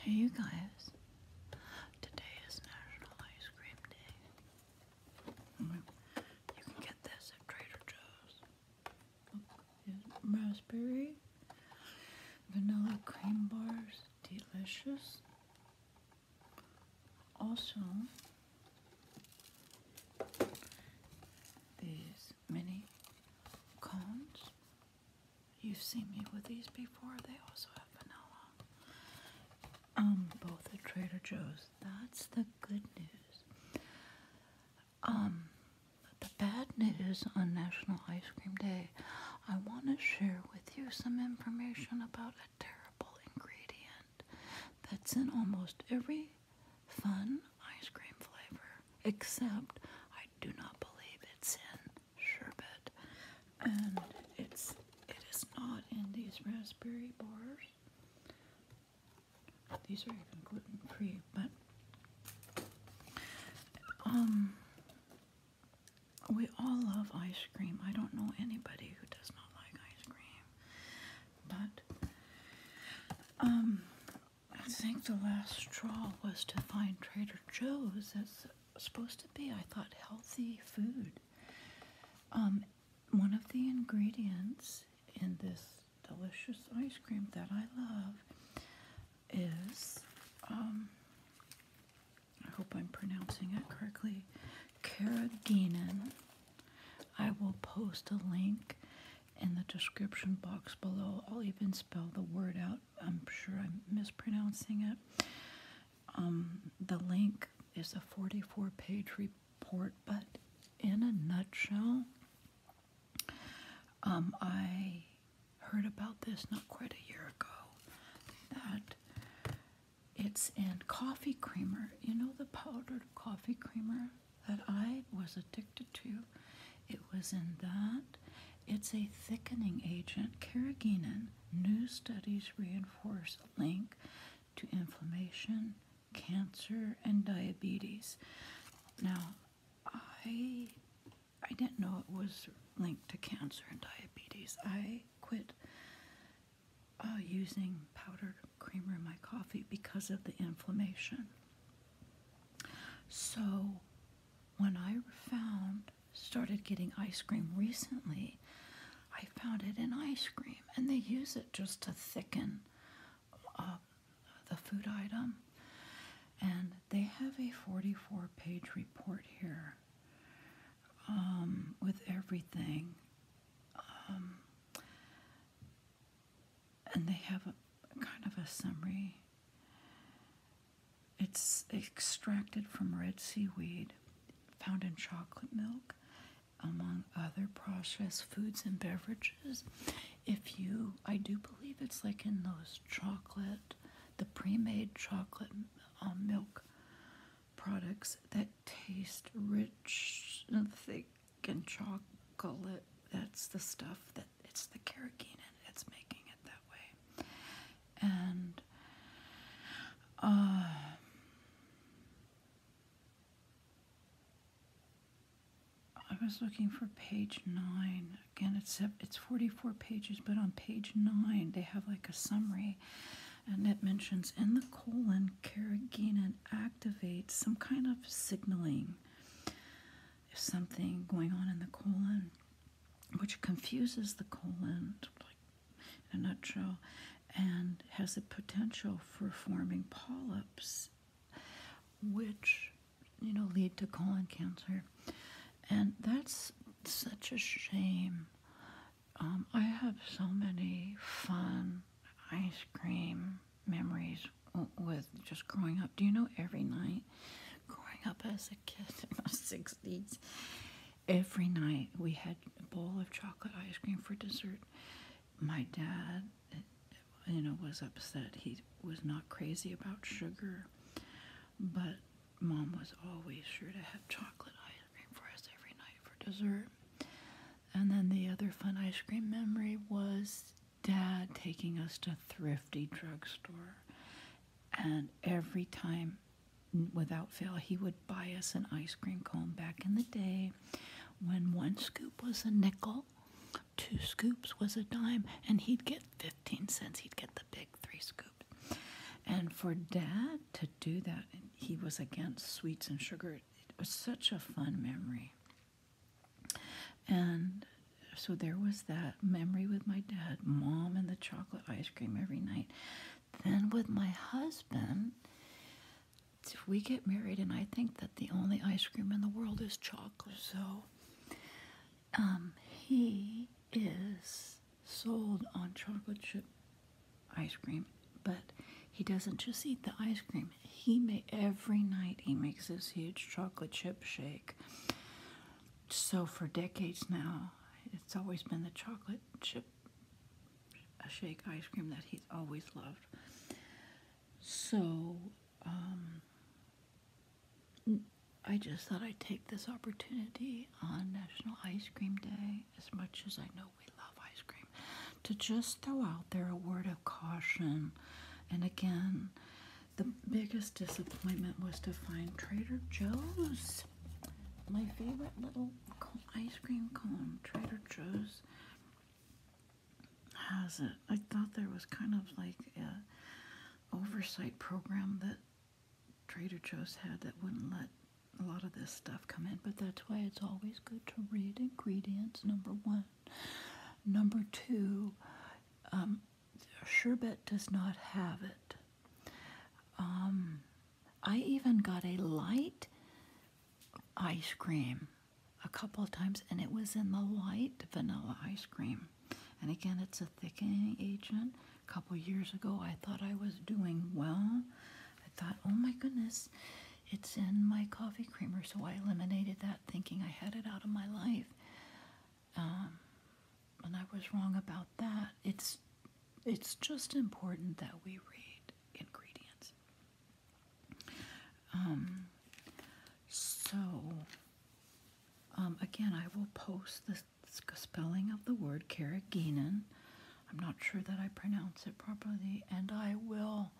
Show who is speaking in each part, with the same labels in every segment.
Speaker 1: Hey you guys, today is National Ice Cream Day. Mm-hmm. You can get this at Trader Joe's. raspberry, vanilla cream bars, delicious. Also, these mini cones You've seen me with these before. They also have vanilla. Um, both at Trader Joe's. That's the good news. Um, the bad news on National Ice Cream Day, I want to share with you some information about a terrible ingredient that's in almost every fun ice cream flavor, except I do not believe it's in sherbet, and it's it is not in these raspberry bars. These are even gluten free, but um, we all love ice cream. I don't know anybody who does not like ice cream, but um, I think the last straw was to find Trader Joe's. That's supposed to be, I thought, healthy food. Um, one of the ingredients in this delicious ice cream that I love is, um, I hope I'm pronouncing it correctly, carrageenan. I will post a link in the description box below. I'll even spell the word out. I'm sure I'm mispronouncing it. Um, the link is a 44 page report, but in a nutshell, um, I heard about this not quite a year ago that it's in coffee creamer. You know the powdered coffee creamer that I was addicted to? It was in that. It's a thickening agent. Carrageenan. New studies reinforce a link to inflammation, cancer, and diabetes. Now, I I didn't know it was linked to cancer and diabetes. I quit uh, using powdered creamer in my coffee because of the inflammation. So when I found started getting ice cream recently, I found it in ice cream, and they use it just to thicken uh, the food item. And they have a 44 page report here um, with everything. Um, and they have a, kind of a summary. It's extracted from red seaweed, found in chocolate milk, among other processed foods and beverages. If you, I do believe it's like in those chocolate, the pre made chocolate um, milk products that taste rich and thick and chocolate. That's the stuff that it's the carrageenan it's making it that way. And um, I was looking for page nine. Again, it's it's 44 pages, but on page nine they have like a summary, and it mentions in the colon carrageenan activates some kind of signaling there's something going on in the colon which confuses the colon, like in a nutshell, and has the potential for forming polyps, which you know lead to colon cancer, and that's such a shame. Um, I have so many fun ice cream memories with just growing up. Do you know every night, growing up as a kid in my 60s, every night we had a bowl of chocolate ice cream for dessert. My dad, you know, was upset. He was not crazy about sugar, but mom was always sure to have chocolate ice cream for us every night for dessert. And then the other fun ice cream memory was dad taking us to thrifty drugstore. And every time, without fail, he would buy us an ice cream cone back in the day when one scoop was a nickel, two scoops was a dime, and he'd get 15 cents. He'd get the big three scoop. And for dad to do that, he was against sweets and sugar. It was such a fun memory. And so there was that memory with my dad, mom, and the chocolate ice cream every night. Then with my husband, if we get married, and I think that the only ice cream in the world is chocolate. So um, he is sold on chocolate chip ice cream, but he doesn't just eat the ice cream. He may every night he makes this huge chocolate chip shake so for decades now, it's always been the chocolate chip shake ice cream that he's always loved. So um, I just thought I'd take this opportunity on National Ice Cream Day, as much as I know we love ice cream, to just throw out there a word of caution. And again, the biggest disappointment was to find Trader Joe's. My favorite little ice cream cone, Trader Joe's has it. I thought there was kind of like a oversight program that Trader Joe's had that wouldn't let a lot of this stuff come in, but that's why it's always good to read ingredients, number one. Number two, um, Sherbet does not have it. Um, I even got a light ice cream a couple of times, and it was in the light vanilla ice cream. And again, it's a thickening agent. A couple years ago, I thought I was doing well. I thought, oh my goodness, it's in my coffee creamer. So I eliminated that thinking I had it out of my life. Um, and I was wrong about that. It's it's just important that we read ingredients. Um, so um, again, I will post the spelling of the word carrageenan. I'm not sure that I pronounce it properly, and I will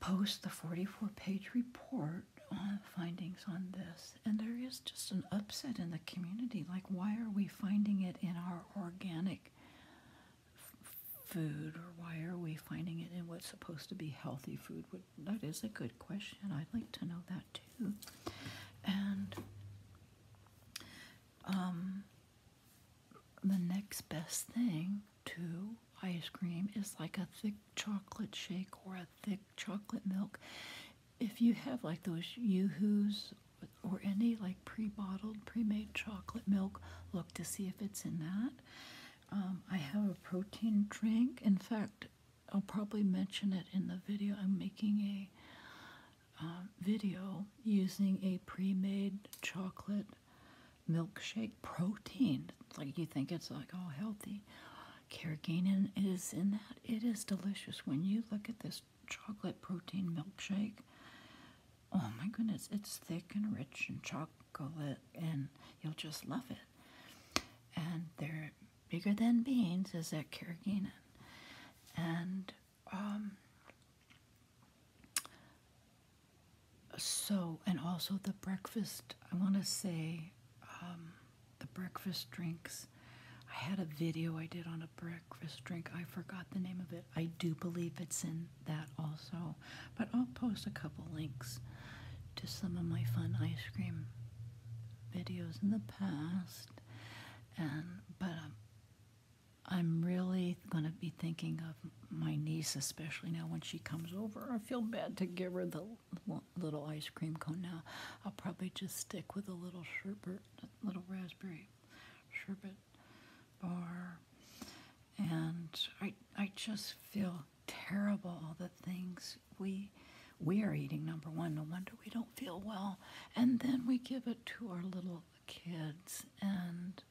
Speaker 1: post the 44 page report on findings on this. And there is just an upset in the community. Like, why are we finding it in our organic food? Or why are we finding it in what's supposed to be healthy food? That is a good question. I'd like to know that too. And um, the next best thing to ice cream is like a thick chocolate shake or a thick chocolate milk. If you have like those Yoo-Hoos or any like pre-bottled, pre-made chocolate milk, look to see if it's in that. Um, I have a protein drink. In fact, I'll probably mention it in the video. I'm making a uh, video using a pre-made chocolate milkshake protein. like you think it's like all healthy me. is in that. It is delicious. When you look at this chocolate protein milkshake, oh my goodness, it's thick and rich and chocolate, and you'll just love it. And they're bigger than beans is that Carrageenan. And um, so, and also the breakfast, I want to say, um, the breakfast drinks. I had a video I did on a breakfast drink. I forgot the name of it. I do believe it's in that also. But I'll post a couple links to some of my fun ice cream videos in the past. And but um, I'm really going to be thinking of my niece especially now when she comes over. I feel bad to give her the little ice cream cone now. I'll probably just stick with a little sherbet, little raspberry sherbet bar. And I, I just feel terrible all the things we we are eating number one no wonder we don't feel well and then we give it to our little kids and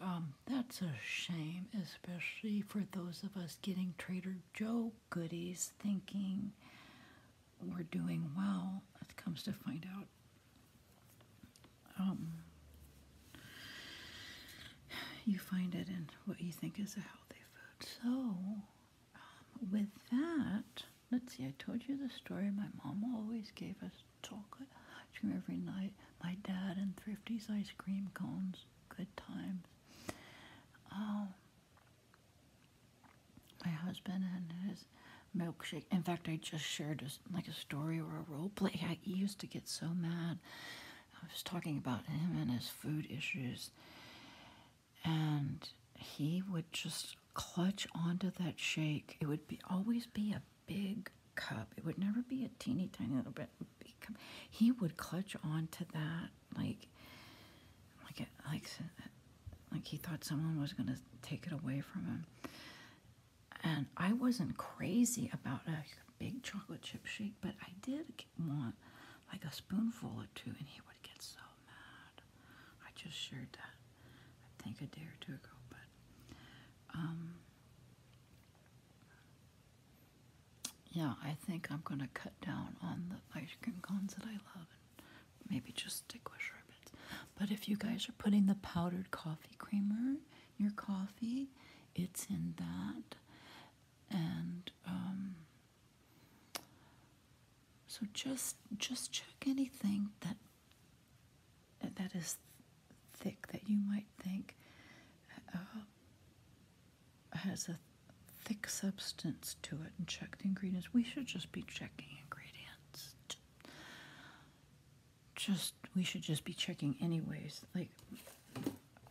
Speaker 1: um, that's a shame, especially for those of us getting Trader Joe goodies thinking we're doing well. It comes to find out. Um, you find it in what you think is a healthy food. So, um, with that, let's see, I told you the story. My mom always gave us chocolate ice cream every night. My dad and Thrifty's ice cream cones. Good times. Um, my husband and his milkshake. In fact, I just shared a, like a story or a role play. I used to get so mad. I was talking about him and his food issues, and he would just clutch onto that shake. It would be always be a big cup. It would never be a teeny tiny little bit. He would clutch onto that that. Like, like, like, like he thought someone was going to take it away from him. And I wasn't crazy about a big chocolate chip shake, but I did want like a spoonful or two, and he would get so mad. I just shared that, I think, a day or two ago. But, um, yeah, I think I'm gonna cut down on the ice cream cones that I love and maybe just stick with sherbet. But if you guys are putting the powdered coffee creamer in your coffee, it's in that. And um, so just just check anything that that is thick that you might think uh, has a thick substance to it and check the ingredients. We should just be checking ingredients. Just, we should just be checking anyways. Like,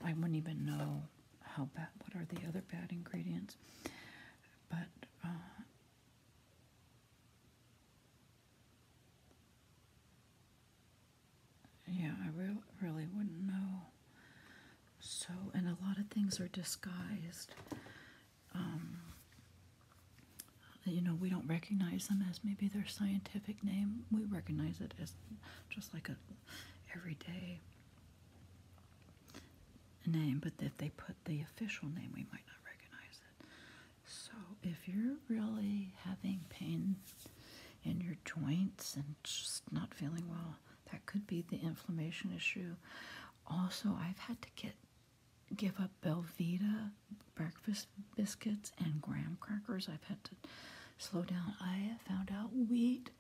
Speaker 1: I wouldn't even know how bad, what are the other bad ingredients. But, uh, yeah, I really, really wouldn't know. So, and a lot of things are disguised. Um, you know, we don't recognize them as maybe their scientific name. We recognize it as just like a everyday name, but if they put the official name, we might not recognize it. So if you're really having pain in your joints and just not feeling well, that could be the inflammation issue. Also, I've had to get give up Belvita breakfast biscuits and graham crackers. I've had to slow down. I found out wheat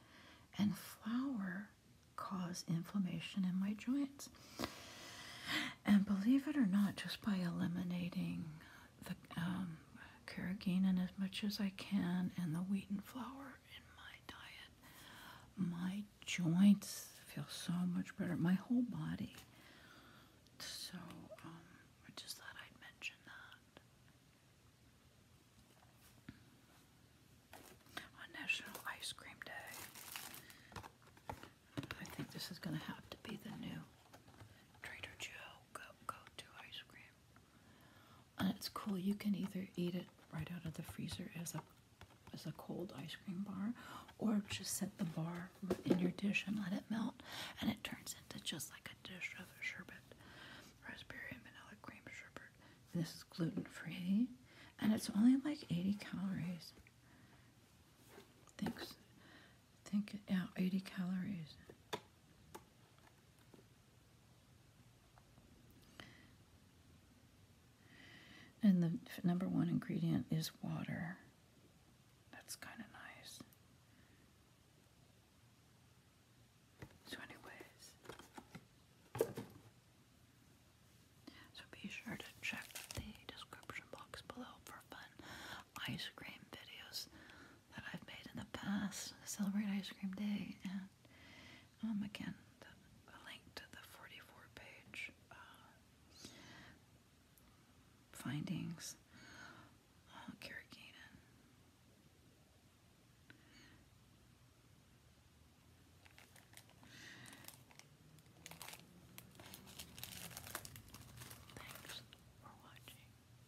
Speaker 1: and flour cause inflammation in my joints. And believe it or not, just by eliminating the um, carrageenan as much as I can and the wheat and flour, in my diet, my joints feel so much better. My whole body. So, um, I just thought I'd mention that. On National Ice Cream Day. I think this is going to have to be the new Trader Joe go-to ice cream and uh, it's cool. You can either eat it right out of the freezer as a as a cold ice cream bar, or just set the bar in your dish and let it melt, and it turns into just like a dish of a sherbet, raspberry vanilla cream sherbet. this is gluten free, and it's only like 80 calories. Thanks. Think yeah, 80 calories. And the number one ingredient is water. That's kind of nice. So anyways, so be sure to check the description box below for fun ice cream videos that I've made in the past. Celebrate Ice Cream Day and um, again, a link to the 44-page uh, findings. Uh, Thanks for watching.